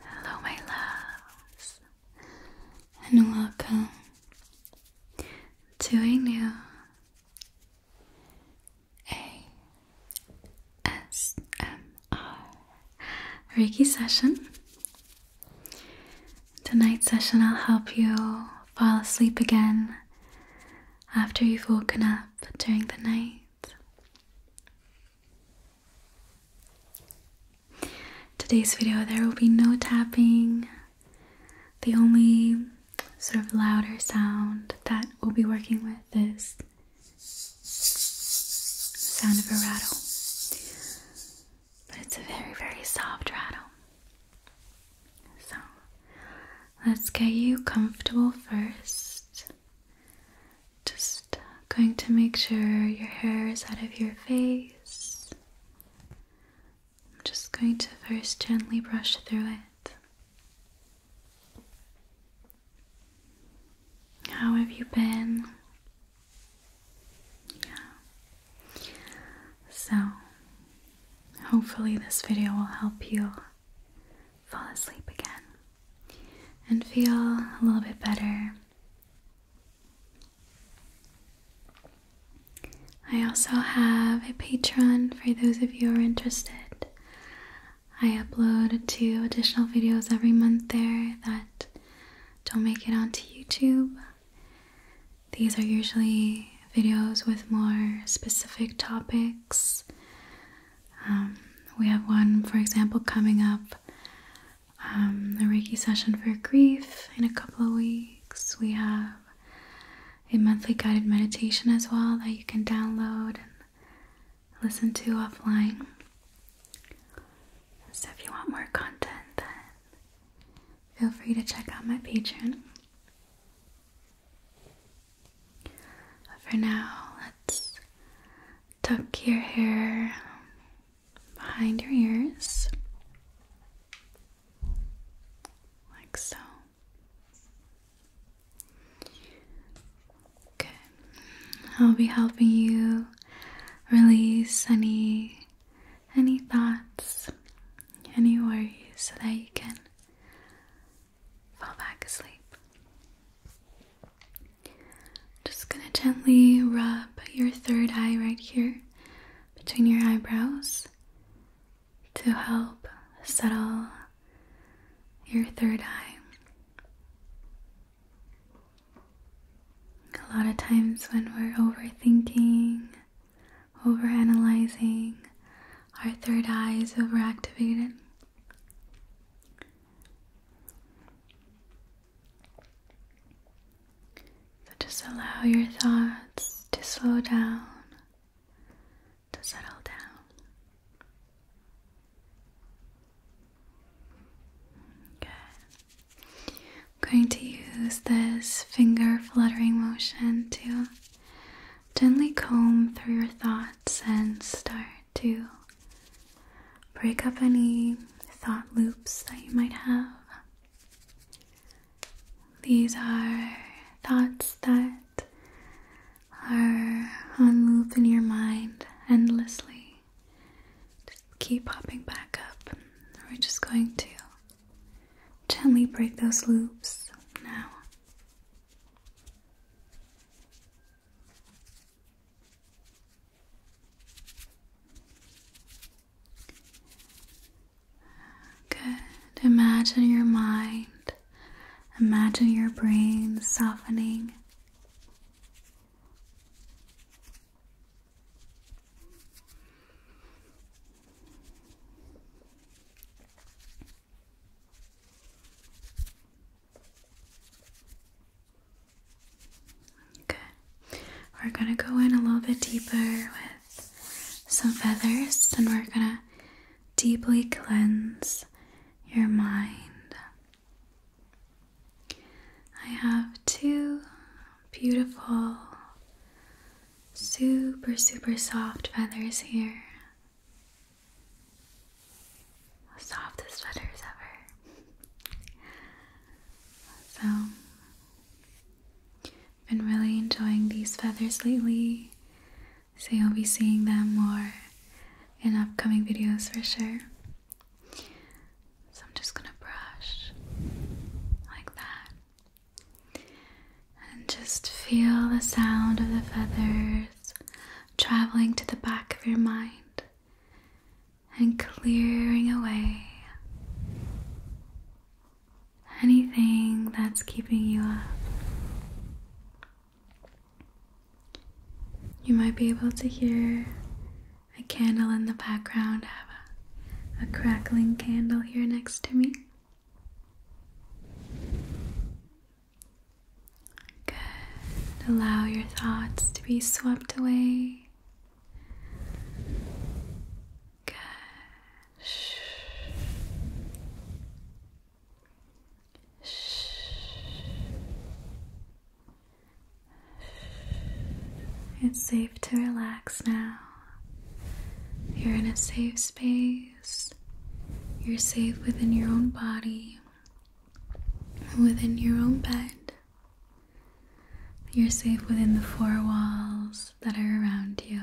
Hello, my loves, and welcome to a new ASMR Reiki session. Tonight's session, I'll help you fall asleep again after you've woken up during the night. Today's video, there will be no tapping. The only sort of louder sound that we'll be working with is the sound of a rattle. But it's a very, very soft rattle. So let's get you comfortable first. Just going to make sure your hair is out of your face. I'm just going to first gently brush through it. How have you been? Yeah. So, hopefully, this video will help you fall asleep again and feel a little bit better I also have a Patreon for those of you who are interested. I upload two additional videos every month there that don't make it onto YouTube. These are usually videos with more specific topics. Um, we have one, for example, coming up um, a Reiki session for grief in a couple of weeks. We have a monthly guided meditation as well that you can download and listen to offline. So, if you want more content, then feel free to check out my Patreon. for now, let's tuck your hair behind your ears, like so. Okay, I'll be helping you release any any thoughts, any worries, so that you can fall back asleep. Just gonna gently rub your third eye right here between your eyebrows to help settle your third eye. A lot of times when we're overthinking, overanalyzing, our third eye is overactivated. So just allow your thoughts to slow down, to settle down. Good. I'm going to use this finger fluttering motion to gently comb through your thoughts and start to break up any thought loops that you might have. These are thoughts that are on loop in your mind endlessly. Just keep popping back up. We're just going to gently break those loops now. Good. Imagine your mind, imagine your brain softening. Okay, we're gonna go in a little bit deeper with some feathers and we're gonna deeply cleanse your mind. I have two beautiful, super, super soft feathers here. The softest feathers ever. So, been really enjoying these feathers lately, so you'll be seeing them more in upcoming videos for sure. So, I'm just gonna brush like that and just feel the sound of the feathers traveling to the back of your mind and clearing away anything that's keeping you up. You might be able to hear a candle in the background. I have a, crackling candle here next to me. Good. Allow your thoughts to be swept away it's safe to relax now. You're in a safe space. You're safe within your own body, within your own bed. You're safe within the four walls that are around you.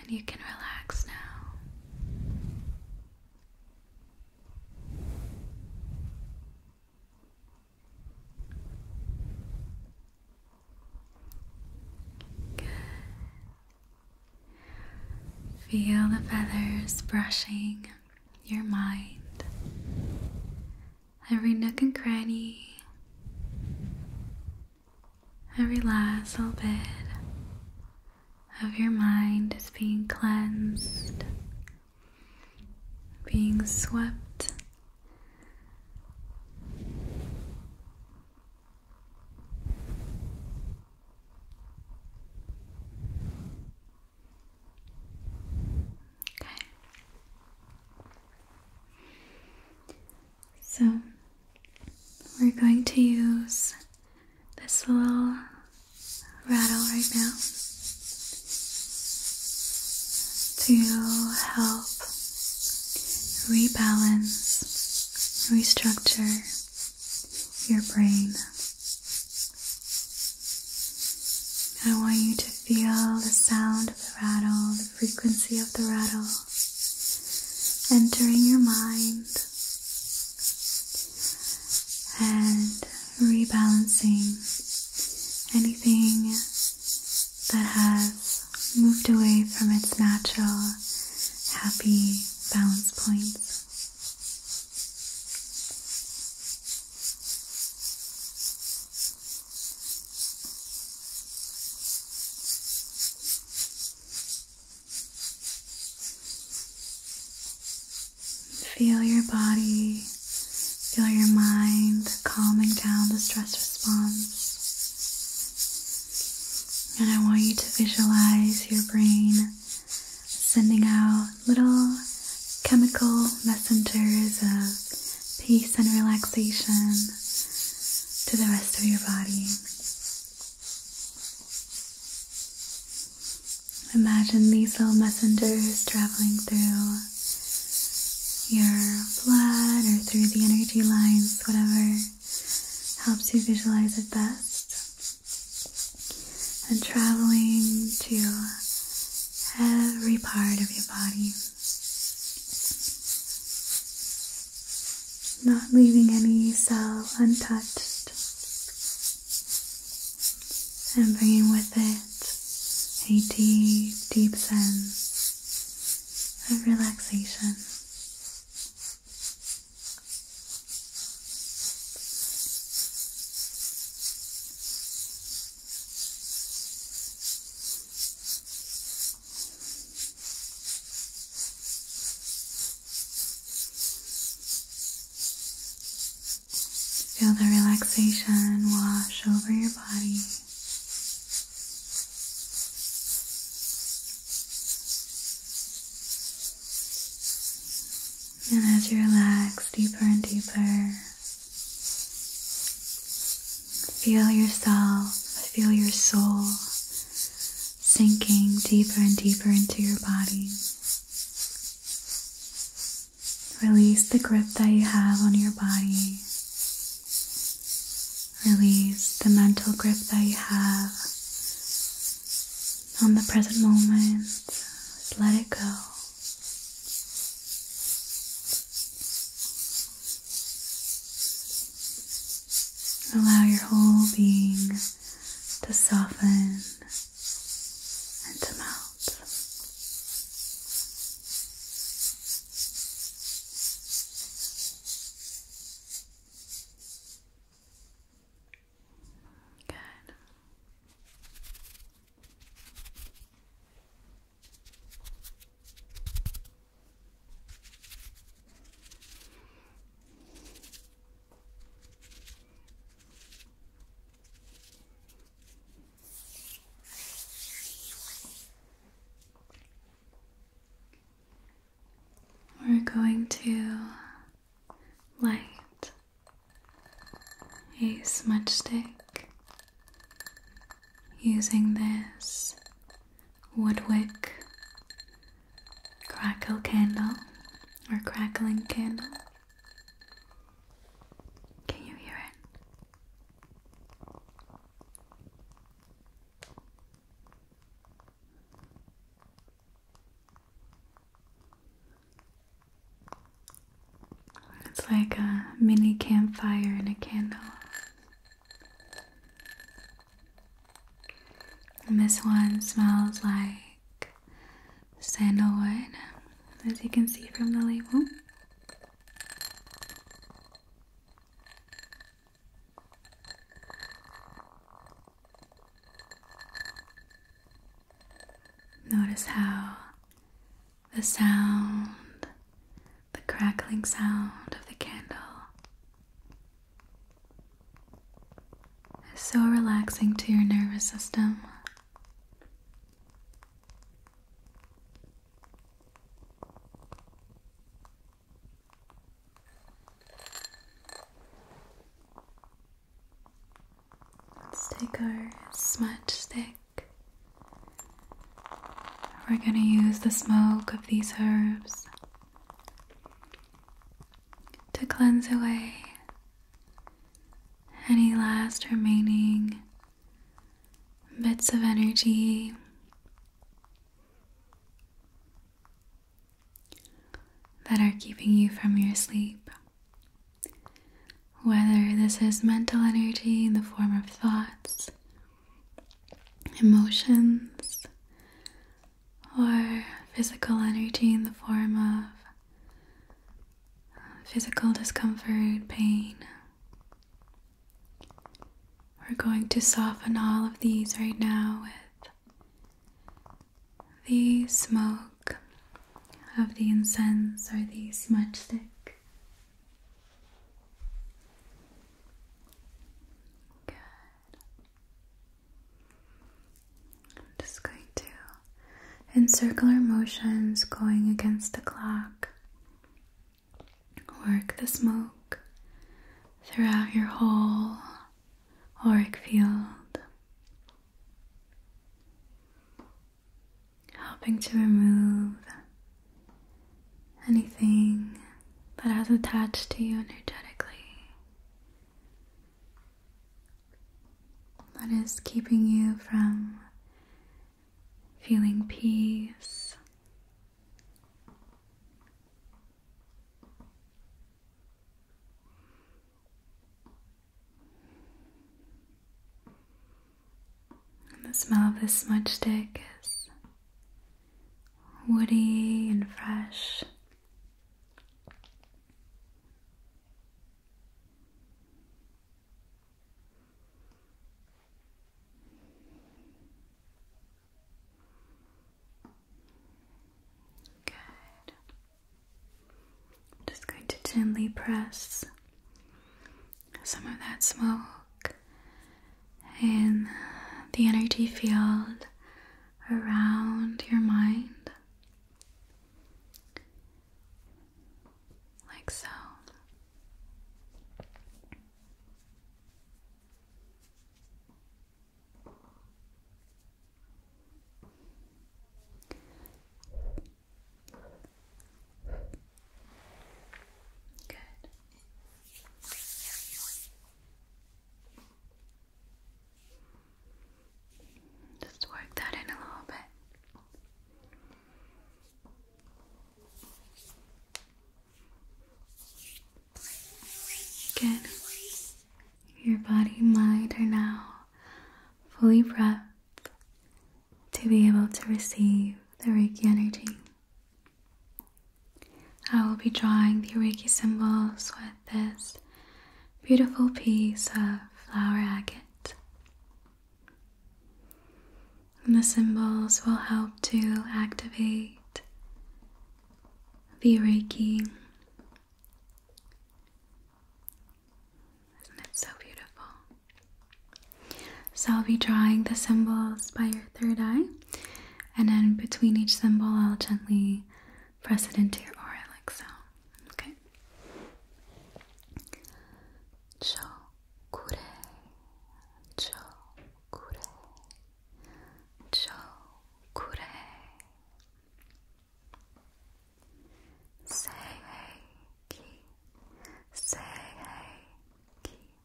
And you can relax now. Good. Feel the feathers brushing your mind, every nook and cranny, every last little bit of your mind is being cleansed, being swept. Okay. So we're going to use this little rattle right now to help rebalance, restructure your brain I want you to feel the sound of the rattle, the frequency of the rattle entering your mind and rebalancing anything that has moved away from its natural, happy balance points. Feel your body, feel your mind calming down the stress response. And I want you to visualize your brain sending out little chemical messengers of peace and relaxation to the rest of your body. Imagine these little messengers traveling through your blood or through the energy lines, whatever helps you visualize it best. And traveling to every part of your body, not leaving any cell untouched, and bringing with it a deep, deep sense of relaxation. Feel the relaxation wash over your body. And as you relax deeper and deeper, Feel yourself, feel your soul sinking deeper and deeper into your body. Release the grip that you have on your body. Release the mental grip that you have on the present moment. let it go. Allow your whole being to soften and to melt. Good. We're going to light a smudge stick using this woodwick crackle candle or crackling candle. Can you hear it? It's like a mini campfire and a candle. And this one smells like sandalwood, as you can see from the label. Notice how the sound, the crackling sound of the candle is so relaxing to your nervous system. Let's take our smudge stick we're going to use the smoke of these herbs to cleanse away any last remaining bits of energy that are keeping you from your sleep whether this is mental energy in the form of thoughts, emotions, or physical energy in the form of physical discomfort, pain. We're going to soften all of these right now with the smoke of the incense or the smudge stick. I'm just going to, in circular motions, going against the clock, work the smoke throughout your whole auric field helping to remove anything that has attached to you energetically that is keeping you from feeling peace. And the smell of this smudge stick is woody and fresh. Good. just going to gently press some of that smoke in the energy field around your mind, like so. Good. Just work that in a little bit. Good. Your body and mind are now fully breath to be able to receive the Reiki energy. I will be drawing the Reiki symbols with this beautiful piece of flower agate. And the symbols will help to activate the Reiki. Isn't it so beautiful? So I'll be drawing the symbols by your third eye, and then between each symbol, I'll gently press it into your aura like so. Okay. Chokure, chokure, chokure. Say hey, ki. Say hey, ki.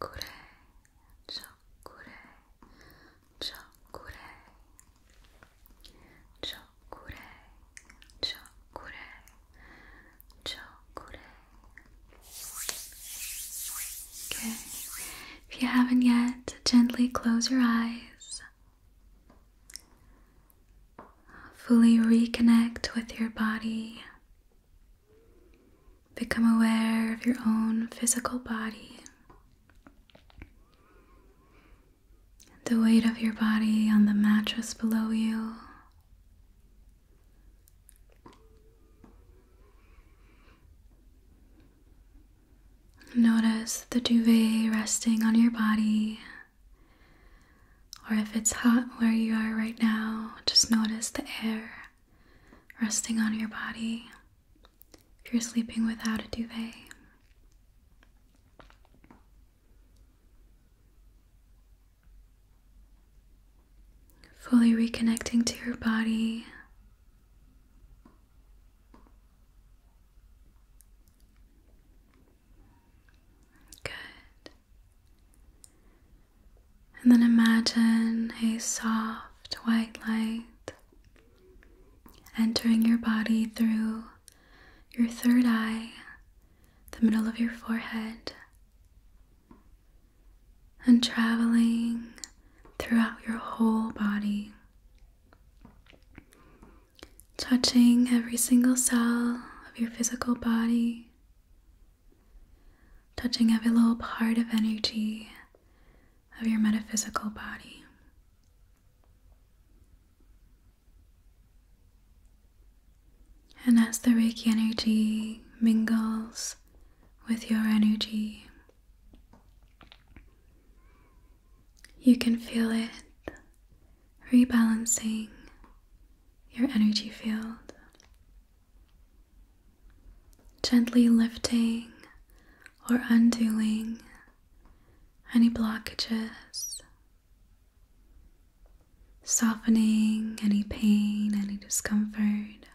Chokure, chokure, chokure, chokure, chokure, chokure. Okay. If you haven't yet, gently close your eyes. Fully reconnect with your body. Become aware of your own physical body, the weight of your body on the mattress below you. Notice the duvet resting on your body, or if it's hot where you are right now, just notice the air resting on your body if you're sleeping without a duvet. Fully reconnecting to your body. Good. And then imagine a soft white light entering your body through your third eye, the middle of your forehead, and traveling throughout your whole body, touching every single cell of your physical body touching every little part of energy of your metaphysical body. And as the Reiki energy mingles with your energy, you can feel it rebalancing your energy field. Gently lifting or undoing any blockages, softening any pain, any discomfort.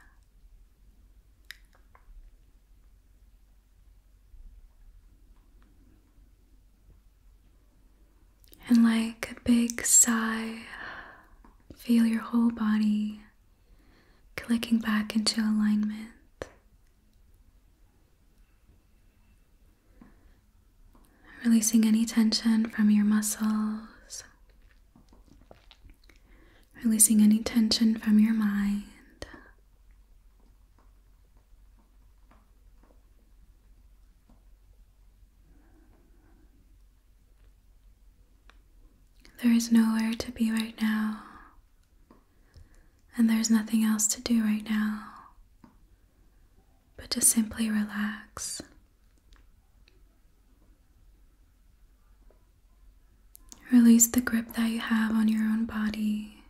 And like a big sigh, Feel your whole body clicking back into alignment. Releasing any tension from your muscles, releasing any tension from your mind. There is nowhere to be right now, and there's nothing else to do right now but to simply relax. Release the grip that you have on your own body.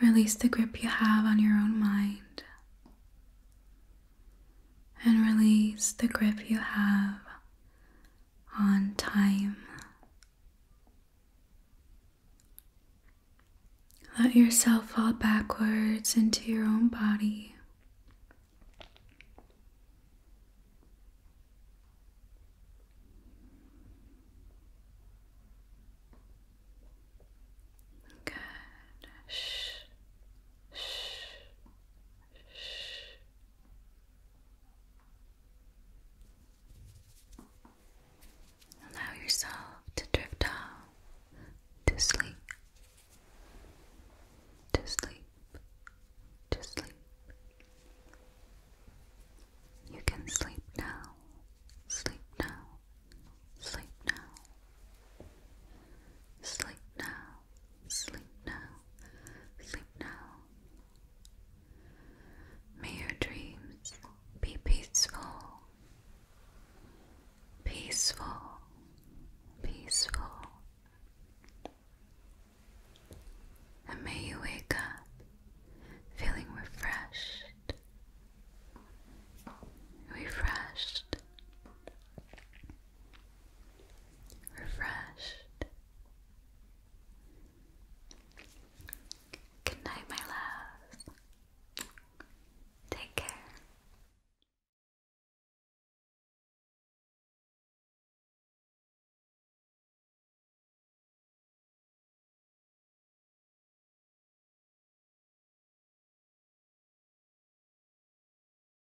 Release the grip you have on your own mind and release the grip you have on time. Let yourself fall backwards into your own body. Good. Shh. Shh. Allow yourself to drift off to sleep, to sleep, to sleep. You can sleep now, sleep now, sleep now, sleep now, Sleep now, sleep now. May your dreams be peaceful, peaceful, peaceful. And may you wake up feeling refreshed, refreshed, refreshed. Good night, my love. Take care.